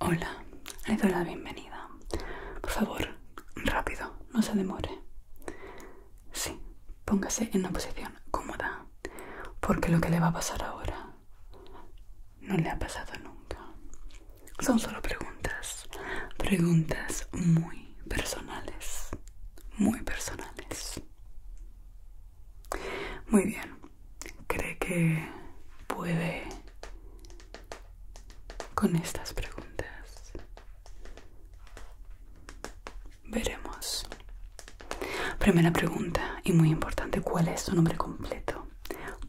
Hola, le doy la bienvenida. Por favor, rápido, no se demore. Sí, póngase en una posición cómoda, porque lo que le va a pasar ahora no le ha pasado nunca. Son solo preguntas, preguntas muy personales, muy personales. Muy bien, cree que puede con estas preguntas? Veremos. Primera pregunta y muy importante, ¿cuál es tu nombre completo?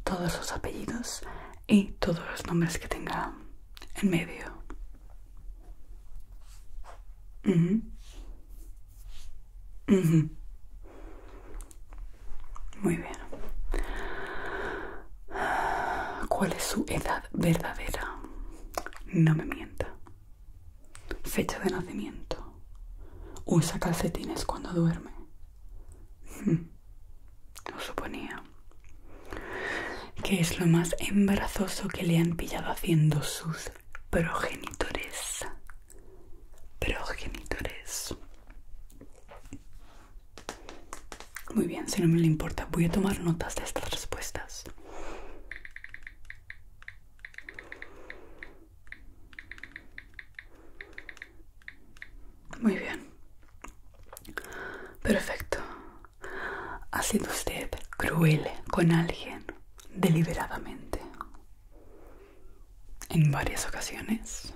Todos los apellidos y todos los nombres que tenga en medio. Muy bien. ¿Cuál es su edad verdadera? No me mienta. Fecha de nacimiento. Usa calcetines cuando duerme. Lo suponía. ¿Qué es lo más embarazoso que le han pillado haciendo sus progenitores? Pero, progenitores. Muy bien, si no me le importa, voy a tomar notas de estas respuestas. Muy bien. Perfecto. Ha sido usted cruel con alguien deliberadamente en varias ocasiones.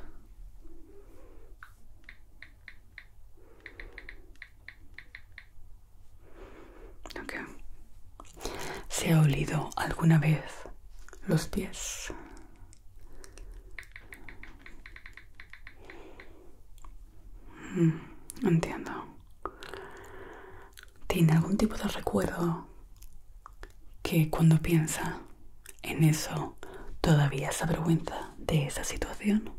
¿Se ha olido alguna vez los pies? Mm, entiendo. ¿Tiene algún tipo de recuerdo que cuando piensa en eso todavía se avergüenza de esa situación.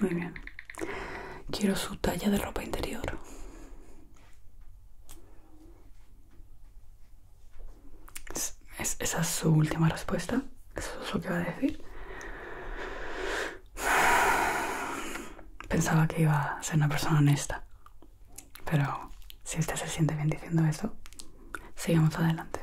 Muy bien. Quiero su talla de ropa interior. esa es su última respuesta. Eso es lo que va a decir. Pensaba que iba a ser una persona honesta. Pero si usted se siente bien diciendo eso, sigamos adelante.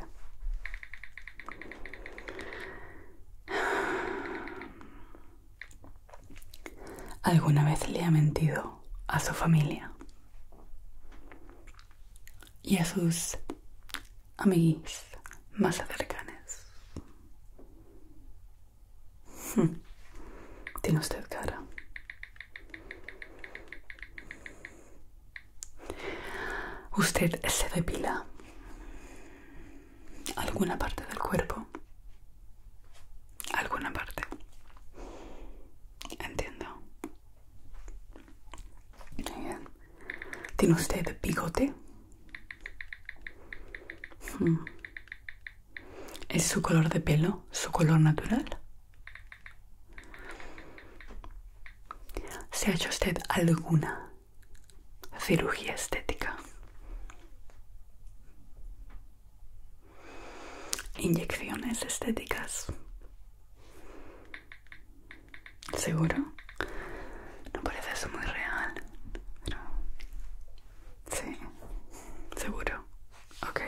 ¿Alguna vez le ha mentido a su familia? Y a sus amiguis más cercanes. Hmm. Tiene usted cara. Usted se depila alguna parte del cuerpo. Alguna parte. Entiendo. ¿Tiene usted bigote? Hmm. ¿Es su color de pelo su color natural? ¿Se ha hecho usted alguna cirugía estética? ¿Inyecciones estéticas? ¿Seguro? No parece eso muy real. Sí, seguro. Ok.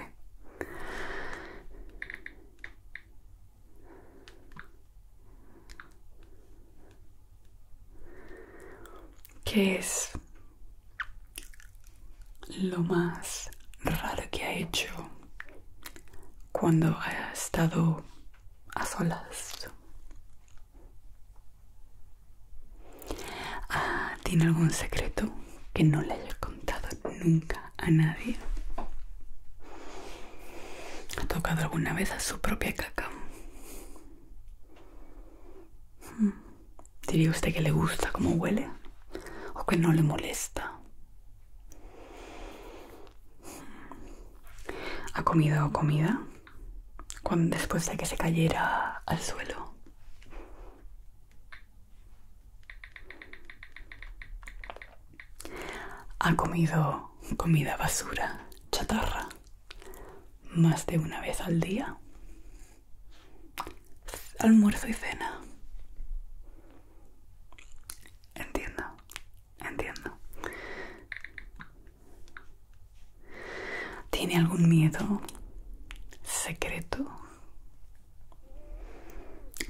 ¿Qué es lo más raro que ha hecho cuando ha estado a solas? Ah, ¿Tiene algún secreto que no le haya contado nunca a nadie? ¿Ha tocado alguna vez a su propia caca? Hmm. ¿Diría usted que le gusta cómo huele? ¿O que no le molesta? Hmm. ¿Ha comido comida cuando, después de que se cayera al suelo. Ha comido comida basura, chatarra, más de una vez al día. Almuerzo y cena. Entiendo, entiendo. ¿Tiene algún miedo secreto?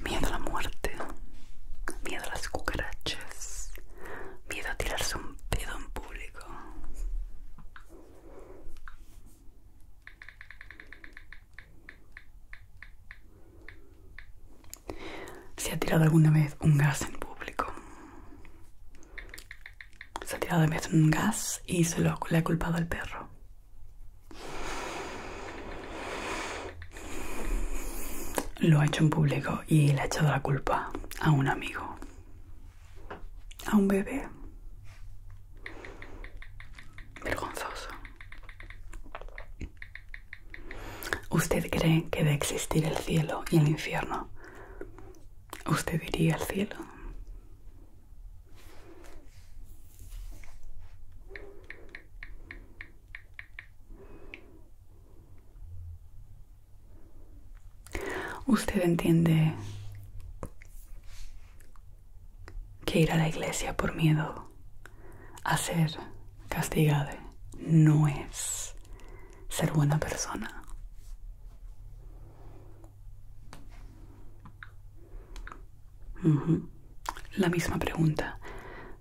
Miedo a la muerte, miedo a las cucarachas, miedo a tirarse un pedo en público. ¿Se ha tirado alguna vez un gas en público? Se ha tirado de un gas y se lo le ha culpado al perro. Lo ha hecho en público y le ha echado la culpa a un amigo. A un bebé. Vergonzoso. ¿Usted cree que debe existir el cielo y el infierno usted diría al cielo. Usted entiende que ir a la iglesia por miedo a ser castigado no es ser buena persona. La misma pregunta,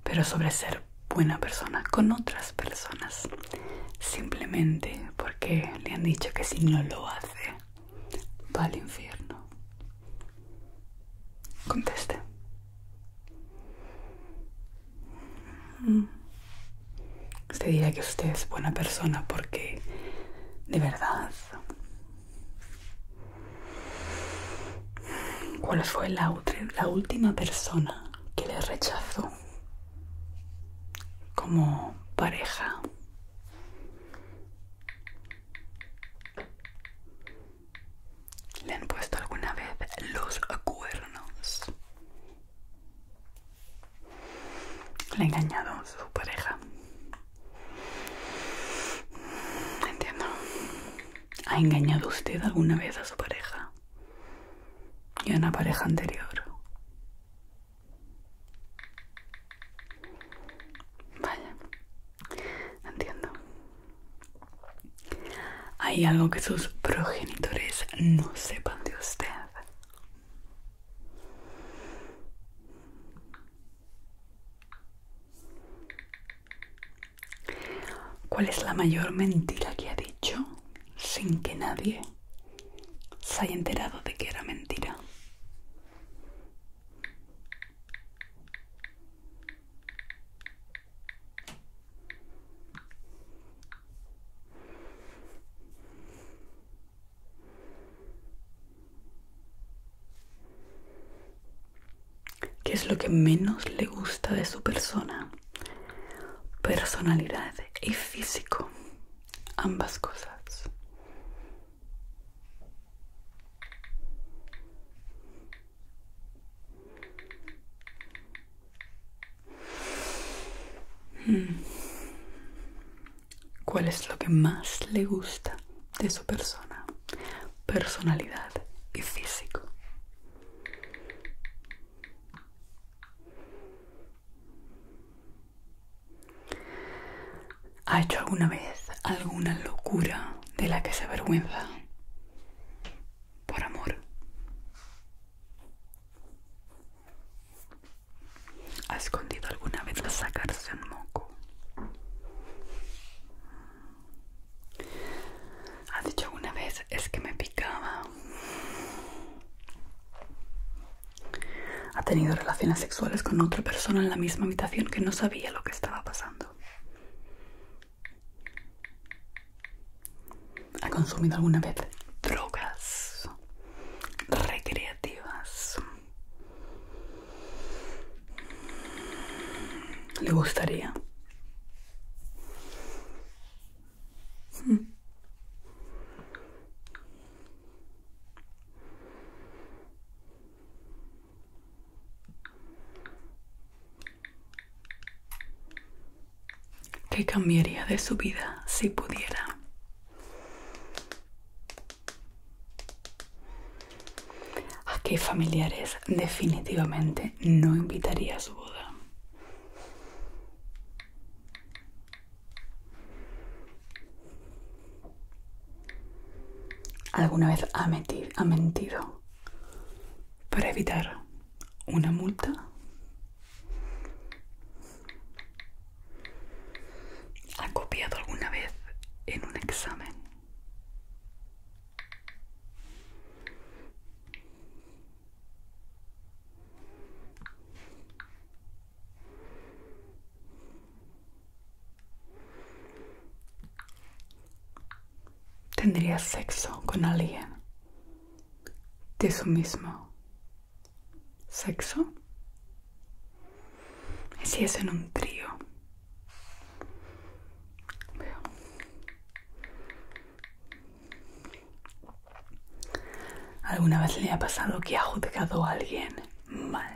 pero sobre ser buena persona con otras personas, simplemente porque le han dicho que si no lo hace, va al infierno. Conteste. Se dirá que usted es buena persona porque de verdad. ¿Cuál fue la, la última persona que le rechazó como pareja? ¿Le han puesto alguna vez los cuernos? Le ha engañado a su pareja. Entiendo. ¿Ha engañado usted alguna vez a su pareja? Y a una pareja anterior. Vaya. Entiendo. Hay algo que sus progenitores no sepan de usted. ¿Cuál es la mayor mentira que ha dicho sin que nadie se haya enterado de que era mentira? ¿Qué es lo que menos le gusta de su persona? Personalidad y físico. Ambas cosas. Hmm. ¿Cuál es lo que más le gusta de su persona, personalidad y físico? ¿Ha hecho alguna vez alguna locura de la que se avergüenza por amor? ¿Ha escondido alguna vez sacarse un moco? ¿Ha dicho alguna vez es que me picaba? ¿Ha tenido relaciones sexuales con otra persona en la misma habitación que no sabía lo que estaba pasando? ¿Ha consumido alguna vez drogas recreativas? ¿Le gustaría? ¿Qué cambiaría de su vida si pudiera. ¿A qué familiares definitivamente no invitaría a su boda? ¿Alguna vez ha, ha mentido para evitar una multa ha copiado alguna vez en un examen ¿Tendría sexo con alguien de su mismo sexo. Si es en un trío. ¿Alguna vez le ha pasado que ha juzgado a alguien mal?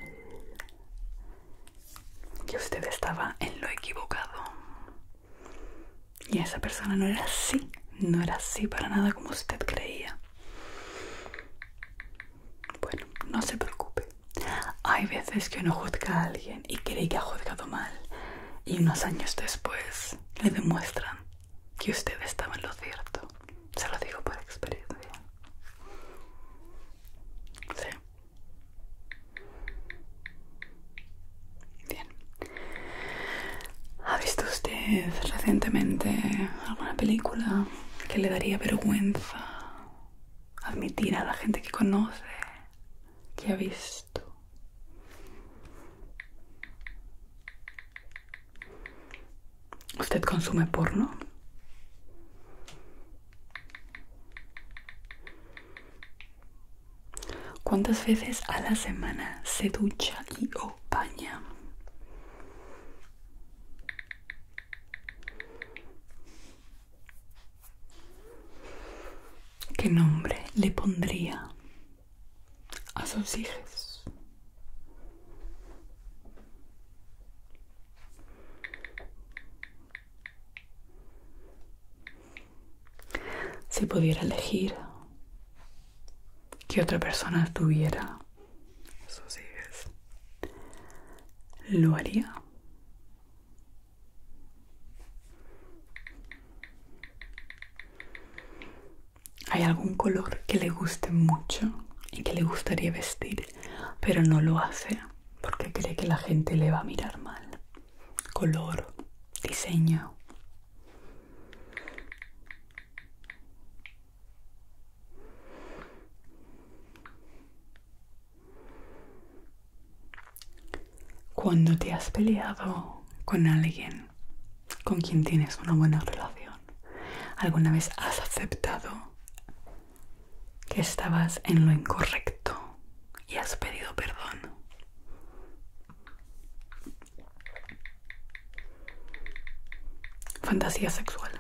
Que usted estaba en lo equivocado. Y esa persona no era así, no era así para nada como usted creía. Bueno, no se preocupe. Hay veces que uno juzga a alguien y cree que ha juzgado mal. Y unos años después le demuestran que usted estaba en lo cierto. Se lo digo por experiencia. Sí. Bien. ¿Ha visto usted recientemente alguna película que le daría vergüenza admitir a la gente que conoce que ha visto? ¿Usted consume porno? ¿Cuántas veces a la semana se ducha y o baña? ¿Qué nombre le pondría a sus hijos? Si pudiera elegir que otra persona tuviera sus ideas, lo haría. ¿Hay algún color que le guste mucho y que le gustaría vestir, pero no lo hace porque cree que la gente le va a mirar mal? Color, diseño. Cuando te has peleado con alguien con quien tienes una buena relación, ¿alguna vez has aceptado que estabas en lo incorrecto y has pedido perdón? Fantasía sexual.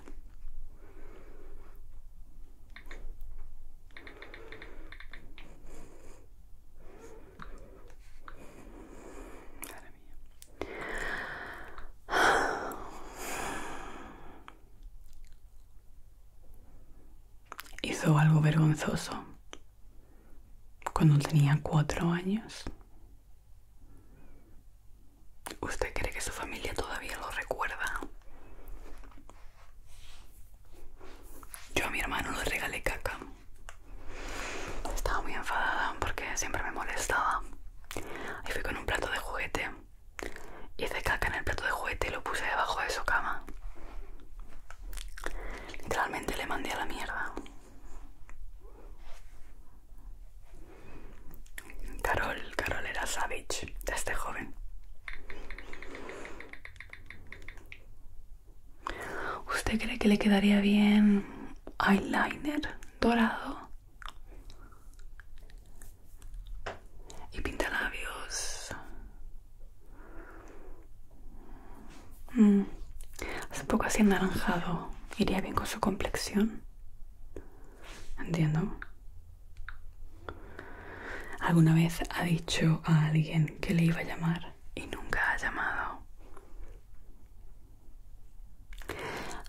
Hizo algo vergonzoso cuando tenía cuatro años. ¿Usted cree que su familia todavía lo recuerda? Yo a mi hermano le regalé caca. Estaba muy enfadada porque siempre me molestaba. Y fui con un plato de juguete. Hice caca en el plato de juguete y lo puse debajo de su cama. Literalmente le mandé a la mierda. Carol, Carol era savage este joven. ¿Usted cree que le quedaría bien eyeliner dorado? Y pintalabios Hace mm. un poco así anaranjado. Iría bien con su complexión. Entiendo. ¿Alguna vez ha dicho a alguien que le iba a llamar y nunca ha llamado?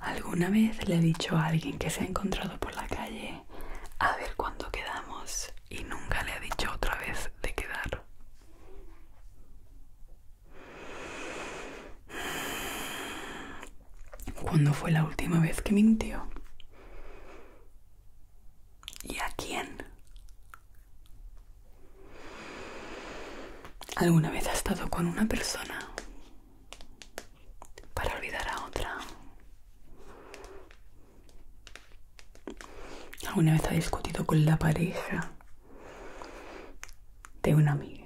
¿Alguna vez le ha dicho a alguien que se ha encontrado por la calle a ver cuándo quedamos y nunca le ha dicho otra vez de quedar? ¿Cuándo fue la última vez que mintió? ¿Y a quién? ¿Alguna vez ha estado con una persona para olvidar a otra? ¿Alguna vez ha discutido con la pareja de una amiga?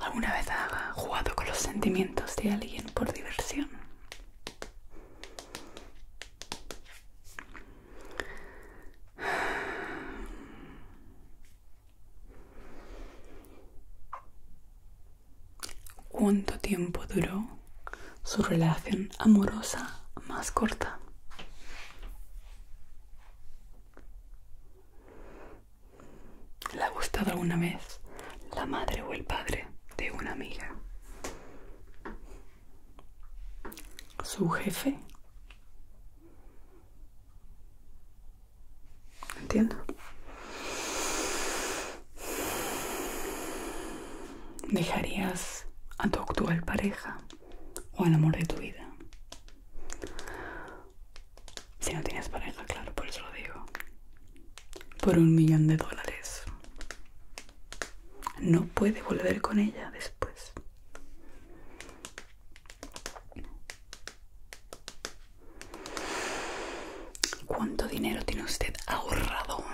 ¿Alguna vez ha jugado con los sentimientos de alguien por diversión? ¿Cuánto tiempo duró su relación amorosa más corta? ¿Le ha gustado alguna vez la madre o el padre de una amiga? ¿Su jefe? Entiendo. ¿Dejarías a tu actual pareja o al amor de tu vida? Si no tienes pareja, claro, por eso lo digo. Por un millón de dólares. No puede volver con ella después. ¿Cuánto dinero tiene usted ahorrado?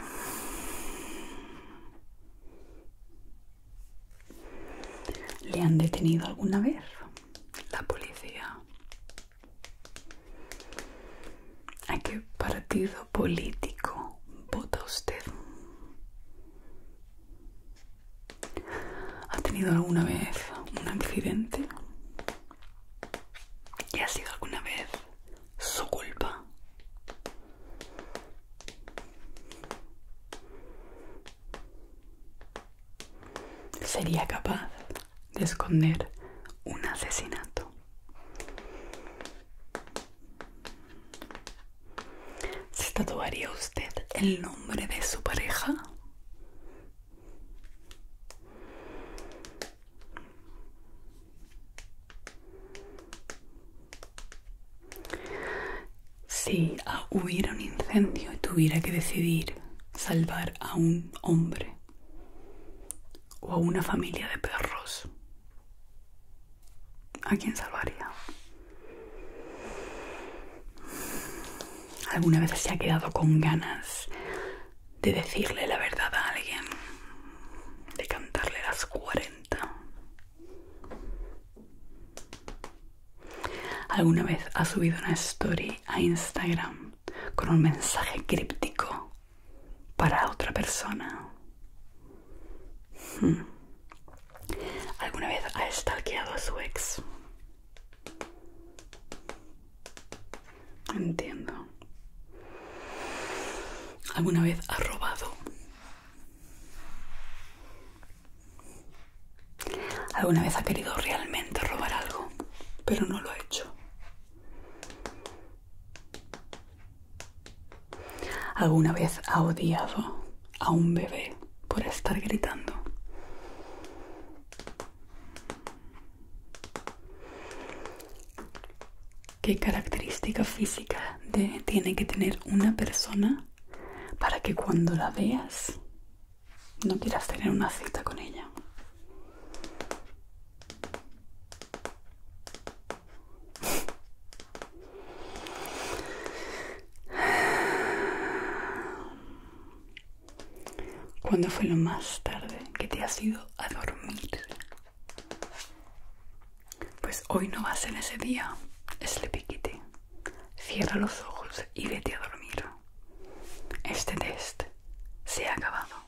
¿Le han detenido alguna vez la policía? ¿A qué partido político vota usted? ¿Ha tenido alguna vez un accidente? ¿Y ha sido alguna vez su culpa? ¿Sería capaz de esconder un asesinato? ¿Se tatuaría usted el nombre de su pareja? Si ah, hubiera un incendio y tuviera que decidir salvar a un hombre o a una familia de perros, ¿a quién salvaría? alguna vez se ha quedado con ganas de decirle la verdad a alguien, de cantarle las cuarenta? ¿Alguna vez ha subido una story a Instagram con un mensaje críptico para otra persona? Hmm. ¿Alguna vez ha stalkeado a su ex? Entiendo. ¿Alguna vez ha robado? ¿Alguna vez ha querido realmente robar algo, pero no lo ha hecho? ¿Alguna vez ha odiado a un bebé por estar gritando? ¿Qué característica física tiene que tener una persona para que cuando la veas no quieras tener una cita con ella? ¿Cuándo fue lo más tarde que te has ido a dormir? Pues hoy no va a ser ese día, Sleepy Kitty. Cierra los ojos y vete a dormir. Este test se ha acabado.